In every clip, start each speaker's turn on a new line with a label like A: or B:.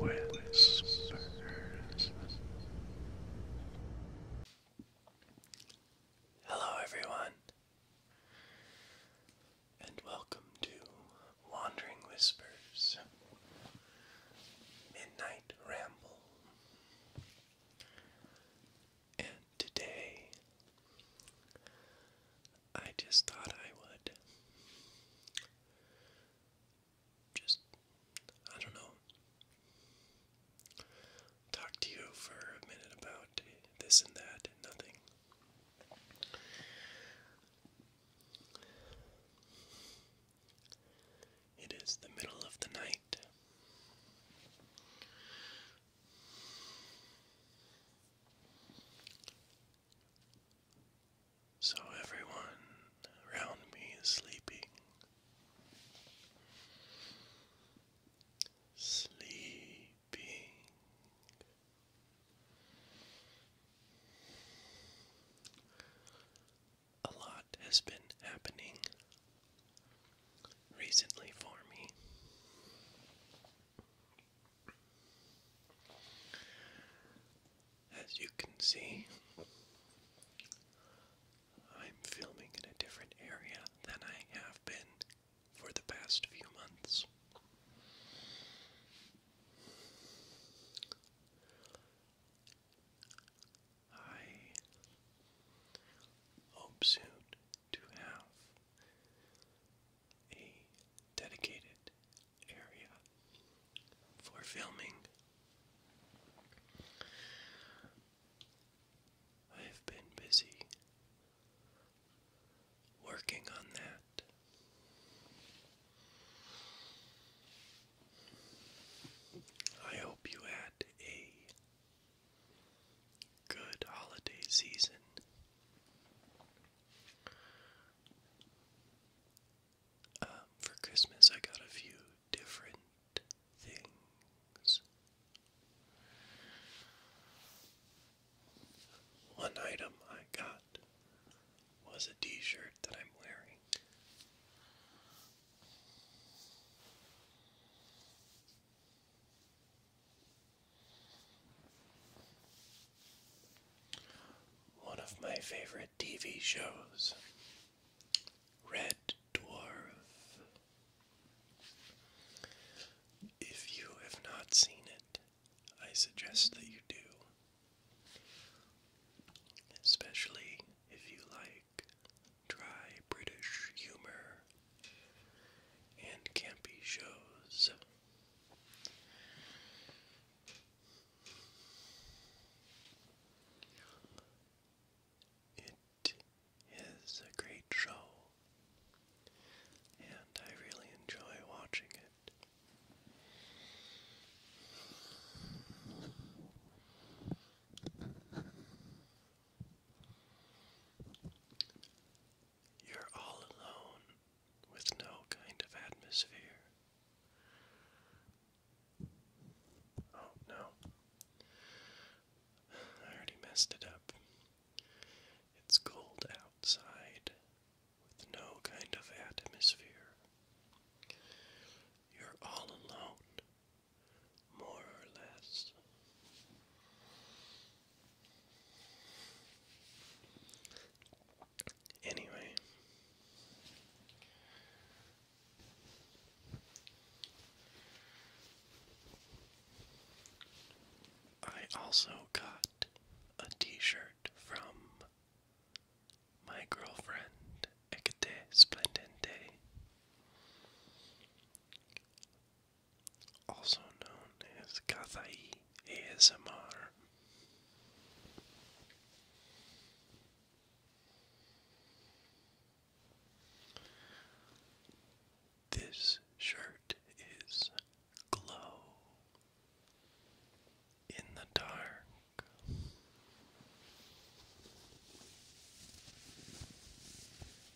A: Wandering Whispers. Hello, everyone, and welcome to Wandering Whispers Midnight Ramble. And today, I just thought I would just, I don't know, talk to you for a minute about this and that and nothing. It is the middle of the night. So everyone around me is sleeping. Sleeping. A lot has been happening recently for me. As you can see, I'm filming in a different area than I have been for the past few months. I hope soon to have a dedicated area for filming. I've been busy working on that. I hope you had a Good holiday season. Um, for Christmas, I got a few different things. One item I got was a t shirt that I'm wearing. One of my favorite TV shows, Red Dwarf. If you have not seen it, I suggest that you do. Especially if you like dry British humor and campy shows. It is a great show, and I really enjoy watching it. You're all alone with no kind of atmosphere. Oh no. I already messed it up. It's cold outside with no kind of atmosphere. You're all alone more or less. Anyway, I also got a t shirt from my girlfriend, Ekate Splendente also known as Kathai ASMR. This shirt is glow in the dark.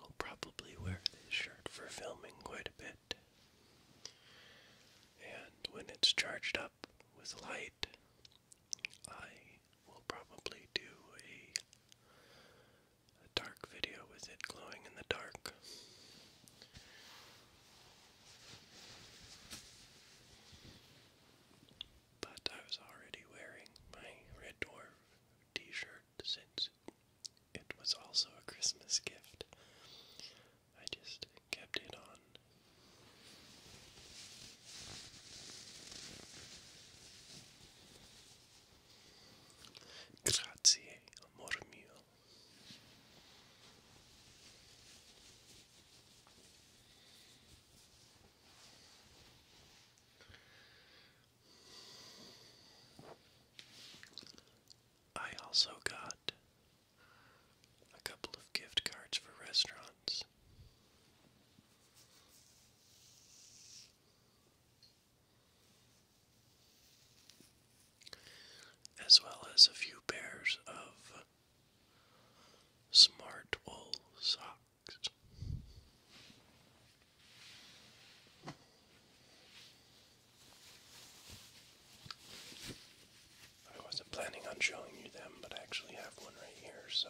A: I'll probably wear this shirt for filming quite a bit. And when it's charged up with light, I will probably do a, dark video with it glowing in the dark. But I was already wearing my Red Dwarf t shirt since it. was also a Christmas gift. I just kept it on. Grazie, amor mio. I also got a couple of gift cards for restaurants. As well as a few pairs of smart wool socks. I wasn't planning on showing you them, but I actually have one right here, so.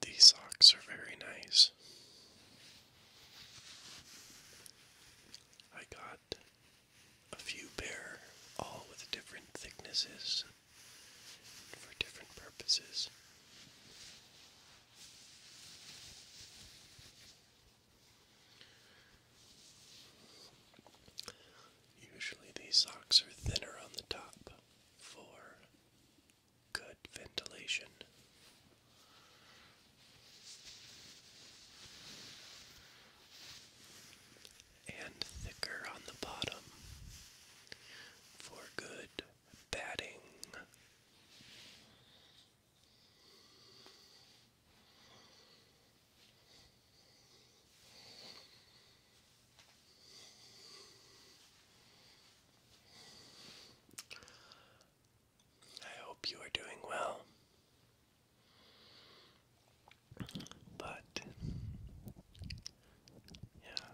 A: These socks are very nice. I got a few pair, all with different thicknesses for different purposes. Usually, these socks are thinner on the top for good ventilation. And thicker on the bottom for good batting. I hope you are doing well. But, yeah,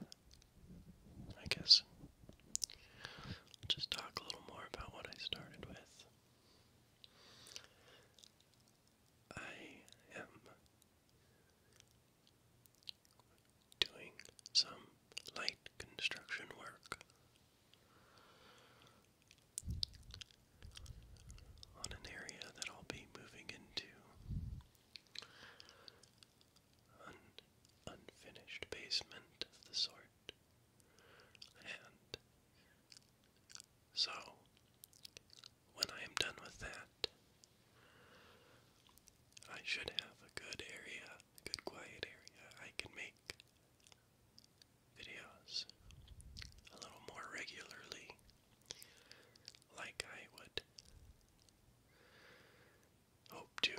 A: I guess just talk a little more about what I started with. I am doing some light construction work on an area that I'll be moving into. An unfinished basement of the sort. And so when I am done with that. I should have a good area, a good quiet area. I can make videos a little more regularly, like I would hope to.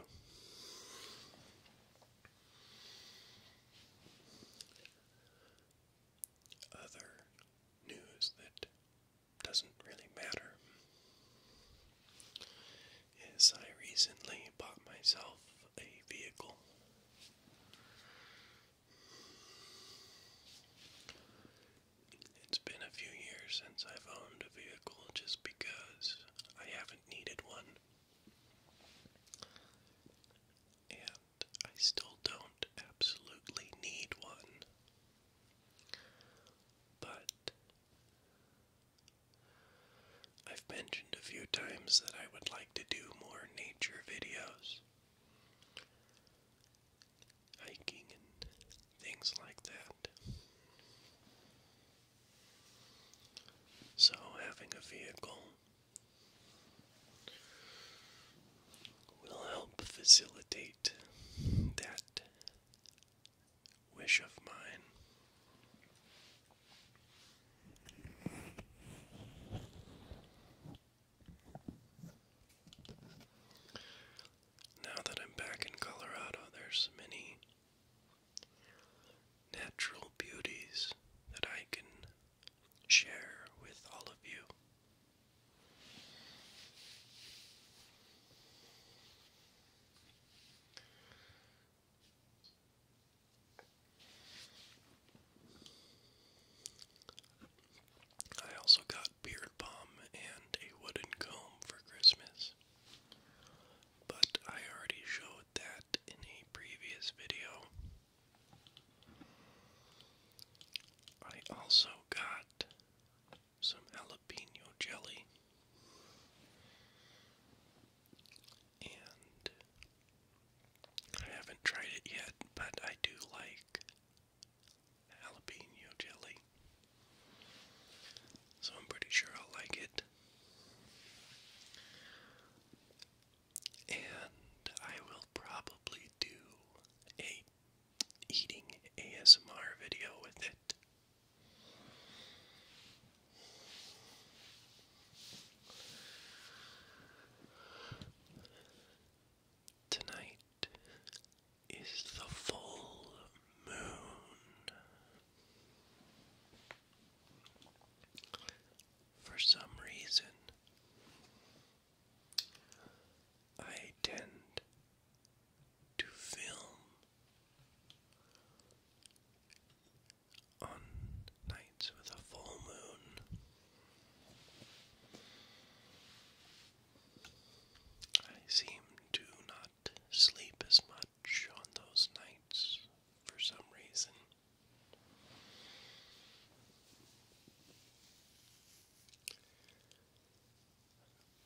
A: Other news that doesn't really matter. As I recently bought myself a vehicle. It's been a few years since I've owned a vehicle just because I haven't needed one. And I still don't absolutely need one. But I've mentioned a few times that I would like to do more nature videos, hiking and things like that. So, having a vehicle will help facilitate that wish of mine. Now that I'm back in Colorado, there's many natural beauties that I can share with all of you. I also got beard balm and a wooden comb for Christmas. But I already showed that in a previous video. I also got some jalapeno jelly and I haven't tried it yet, but I do like jalapeno jelly. So I'm pretty sure I'll like it. And I will probably do a eating ASMR video with it. Tonight is the full moon. For some reason, I tend to film on nights with a full moon. I seem to not sleep as much on those nights for some reason.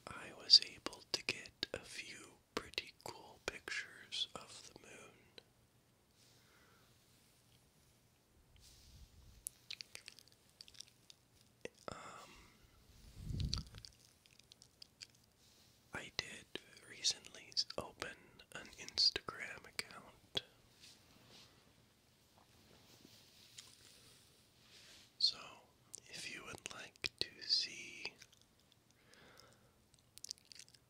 A: I was able to get a few pretty cool pictures of the moon. Um, I did recently open an Instagram account. So, if you would like to see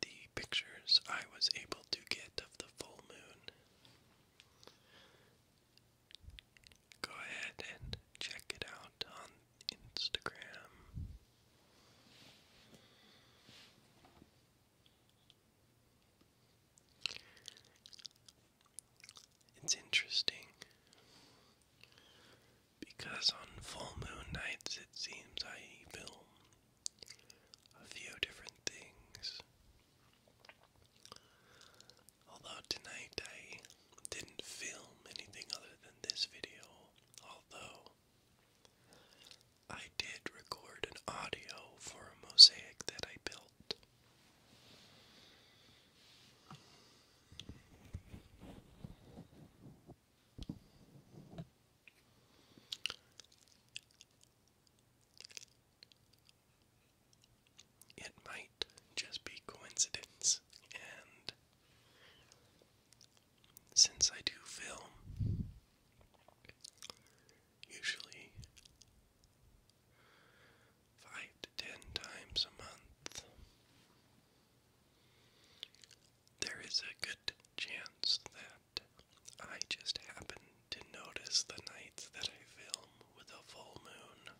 A: the pictures I was able to get of the full moon, go ahead and check it out on Instagram. It's interesting because on full moon nights it seems I film a few different things. Although tonight I didn't film anything other than this video, although I did record an audio for a mosaic that I built. It might just be coincidence, and since I do film, usually five to ten times a month. There is a good chance that I just happen to notice the nights that I film with a full moon.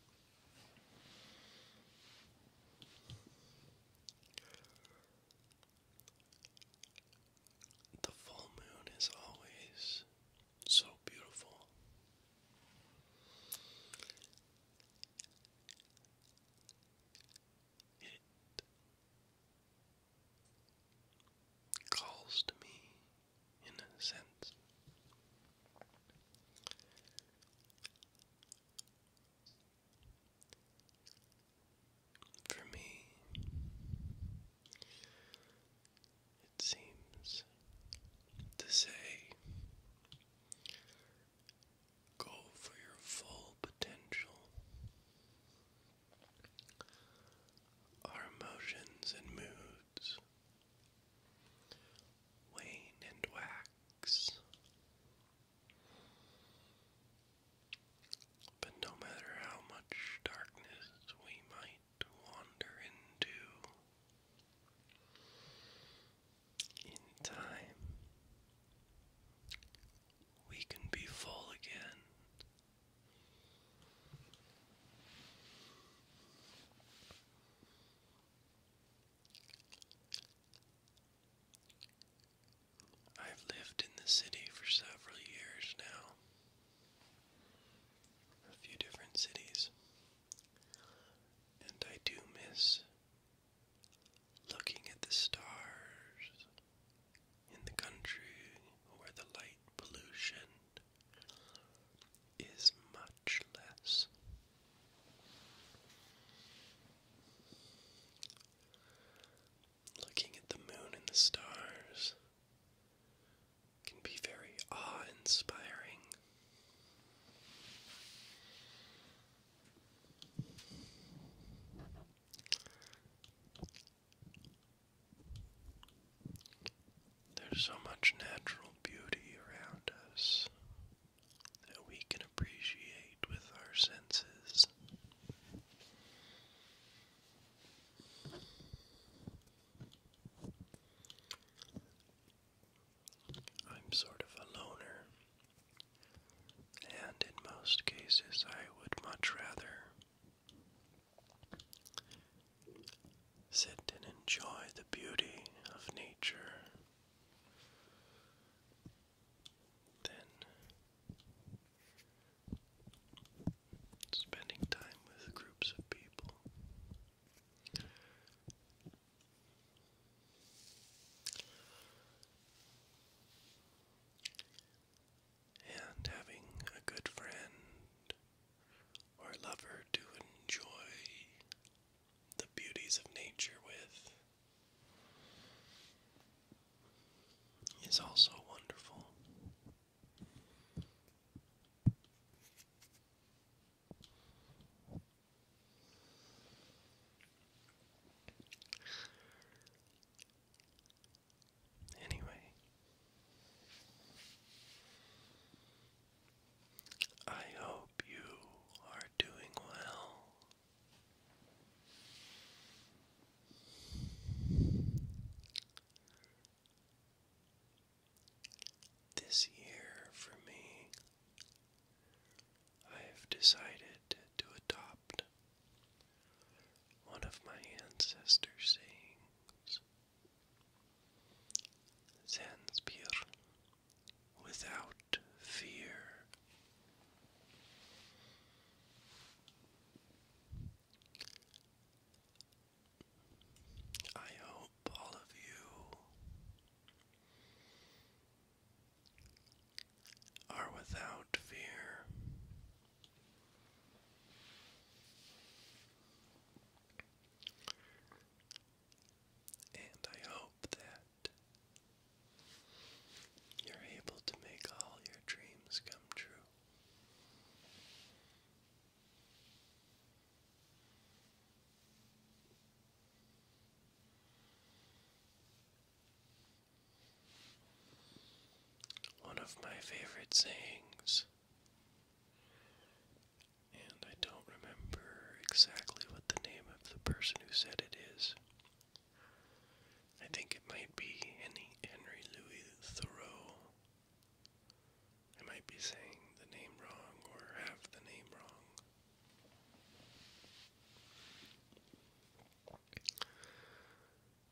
A: The full moon is always so beautiful. It calls to me in a sense. For me, it seems to say go for your full potential. Our emotions and moods wane and wax. But no matter how much darkness we might might wander into. In time, we can be full again. I've lived in the city for several years now, a few different cities, and I do miss looking at the stars in the country where the light pollution is much less. Looking at the moon and the stars can be very awe inspiring. There's so much natural beauty around us that we can appreciate with our senses. I'm sort of a loner, and in most cases, I would much rather sit and enjoy the beauty of nature than spending time with groups of people. And having a good friend or lover to enjoy the beauties of nature with is also wonderful. Anyway, I hope you are doing well. This year, for me, I have decided to adopt one of my ancestors' sayings Zanspir, without fear. I hope all of you are without fear. And I hope that you're able to make all your dreams come true. One of my favorite sayings, and I don't remember exactly what the name of the person who said it is. I think it might be Henry Louis Thoreau, I might be saying the name wrong or have the name wrong.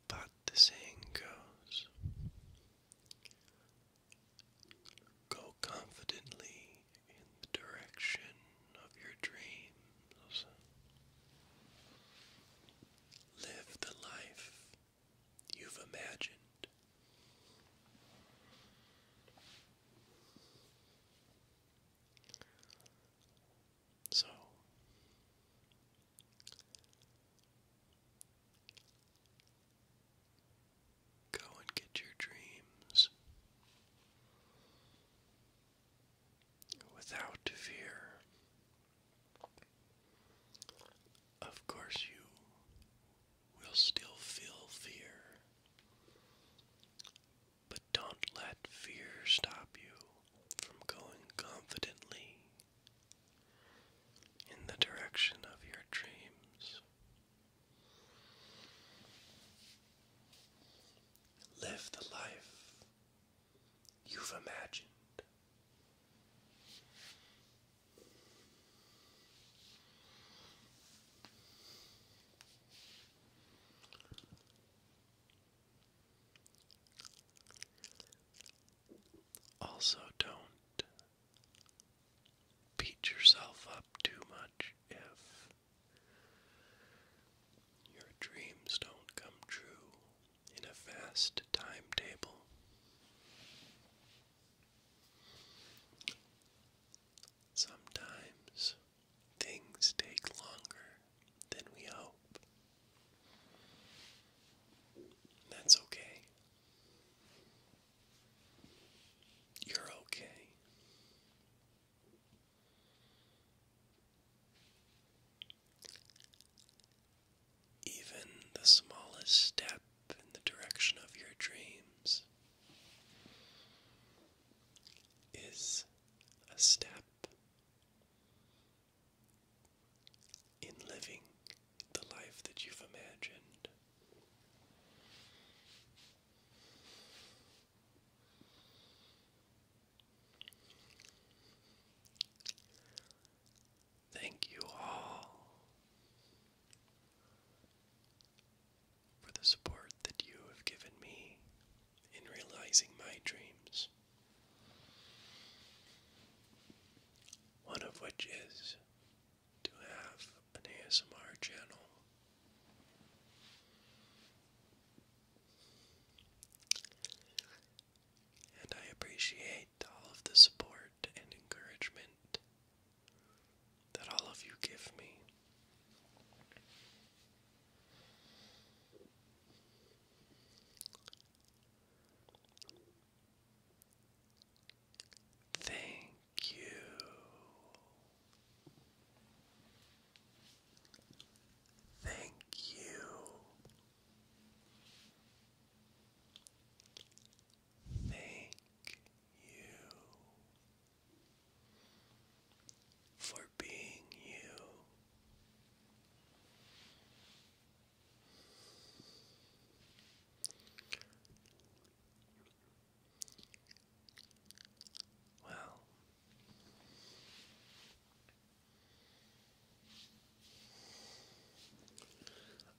A: But the saying goes Go confidently in the direction of your dreams. Live the life you've imagined. So go and get your dreams without fear. Of course, you we will still feel fear. But don't let fear stop you from going confidently in the direction of your dreams. Live the life you've imagined. Also, don't beat yourself up too much if your dreams don't come true in a fast timetable. Sometimes things take longer than we hope. That's okay. You're okay. Even the smallest step in the direction of your dreams is a step in living the life that you've imagined. Thank you all for the support that you have given me in realizing my dreams. One of which is to have an ASMR channel. And I appreciate all of the support and encouragement that all of you give me. Thank you. Thank you. Thank you for being you. Well,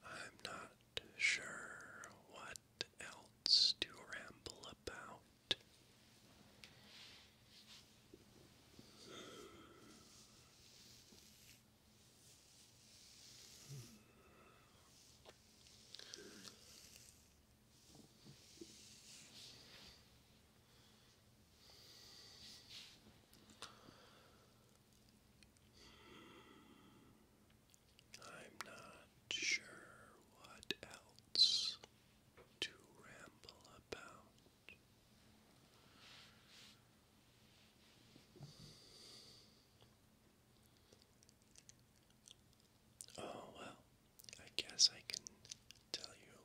A: I'm not sure what else to ramble about. I'm not sure what else to ramble about. Oh, well, I guess I can tell you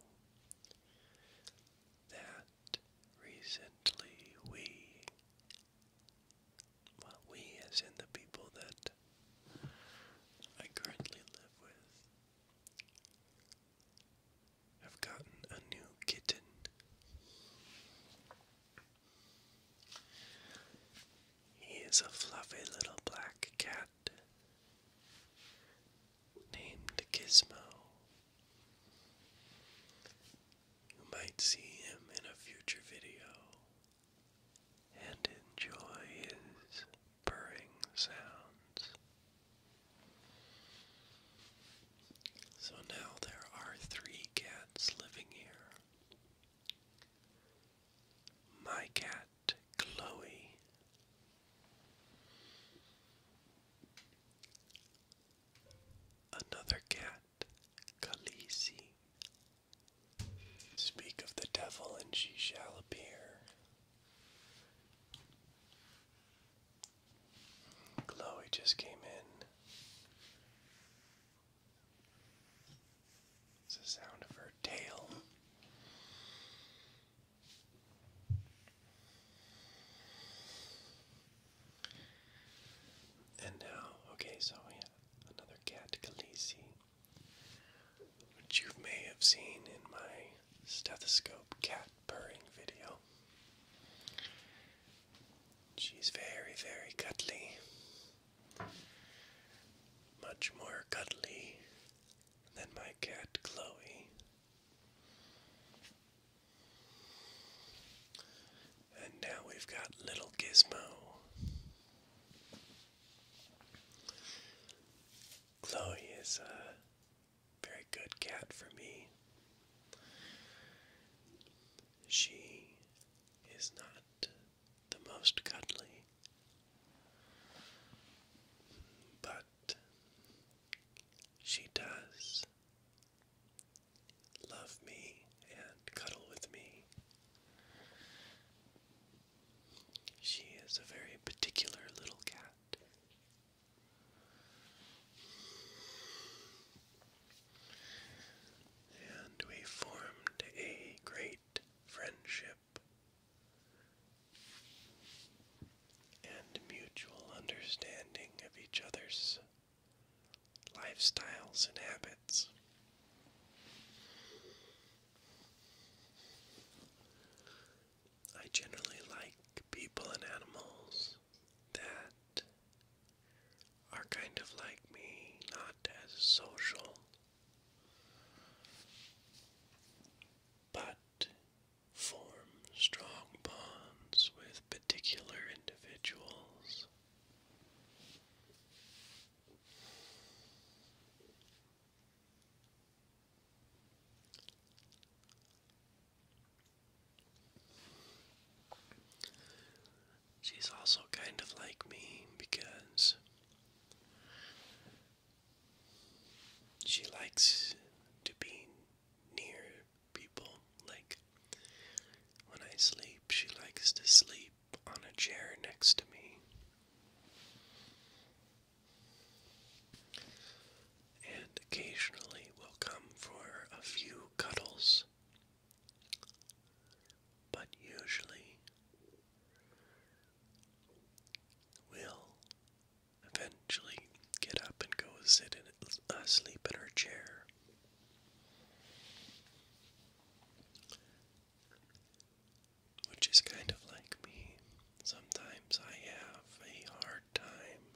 A: that recently we well, we, as in the people that I currently live with, have gotten a new kitten. He is a fluffy little black cat named Gizmo. You might see him in a future video and enjoy his purring sounds. So now there are three cats living here. My cat, Chloe. Another cat Khaleesi. Speak of the devil, and she shall appear. Chloe just came in. It's the sound of her tail. And now, okay, so we another cat Khaleesi, which you may have seen in my stethoscope cat purring video. She's very, very cuddly. Much more cuddly than my cat Chloe. And now we've got little Gizmo. Chloe is a very good cat for me. She is not the most cuddly, but she does love me and cuddle with me. She is a very particular little cat. And we formed a great friendship and mutual understanding of each other's lifestyles, and habits. I generally like people and animals that are kind of like me, not as social, but form strong bonds with particular individuals She's also kind of like me because she likes to be near people. Like when I sleep, she likes to sleep on a chair next to me. And occasionally will come for a few cuddles, but usually will eventually get up and go sit in, uh, sleep in her chair. Which is kind of like me. Sometimes I have a hard time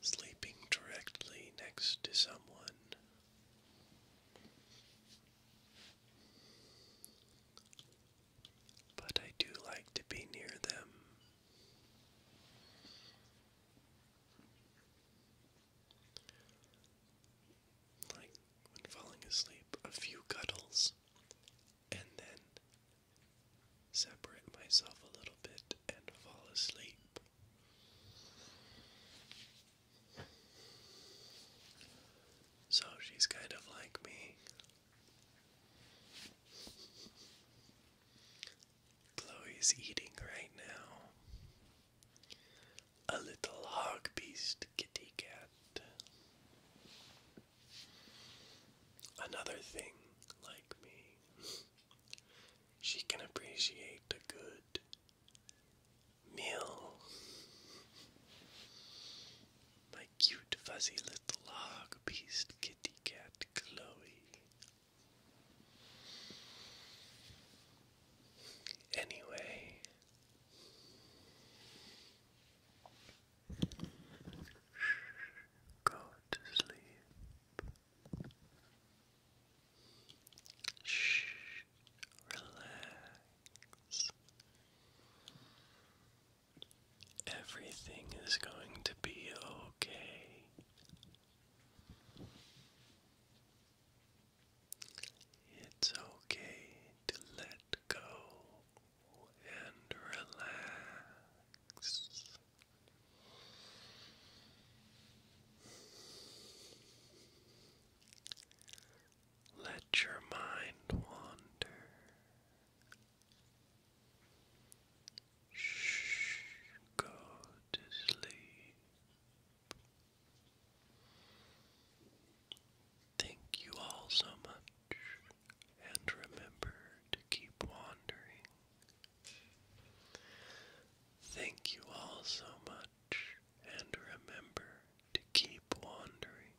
A: sleeping directly next to someone. But I do like to be near them. Like when falling asleep, a few cuddles, and then separate myself a little bit and fall asleep. So she's kind of like me. Chloe's eating right now a little hog beast kitty cat. Another thing, like me, she can appreciate a good meal. My cute, fuzzy little hog beast kitty cat, Chloe. Anyway, go to sleep. Shh, relax. Everything is going to be okay. It's okay to let go and relax. Let your mind wander. Shh, go to sleep. Thank you all so much, and remember to keep wandering. Thank you all so much, and remember to keep wandering.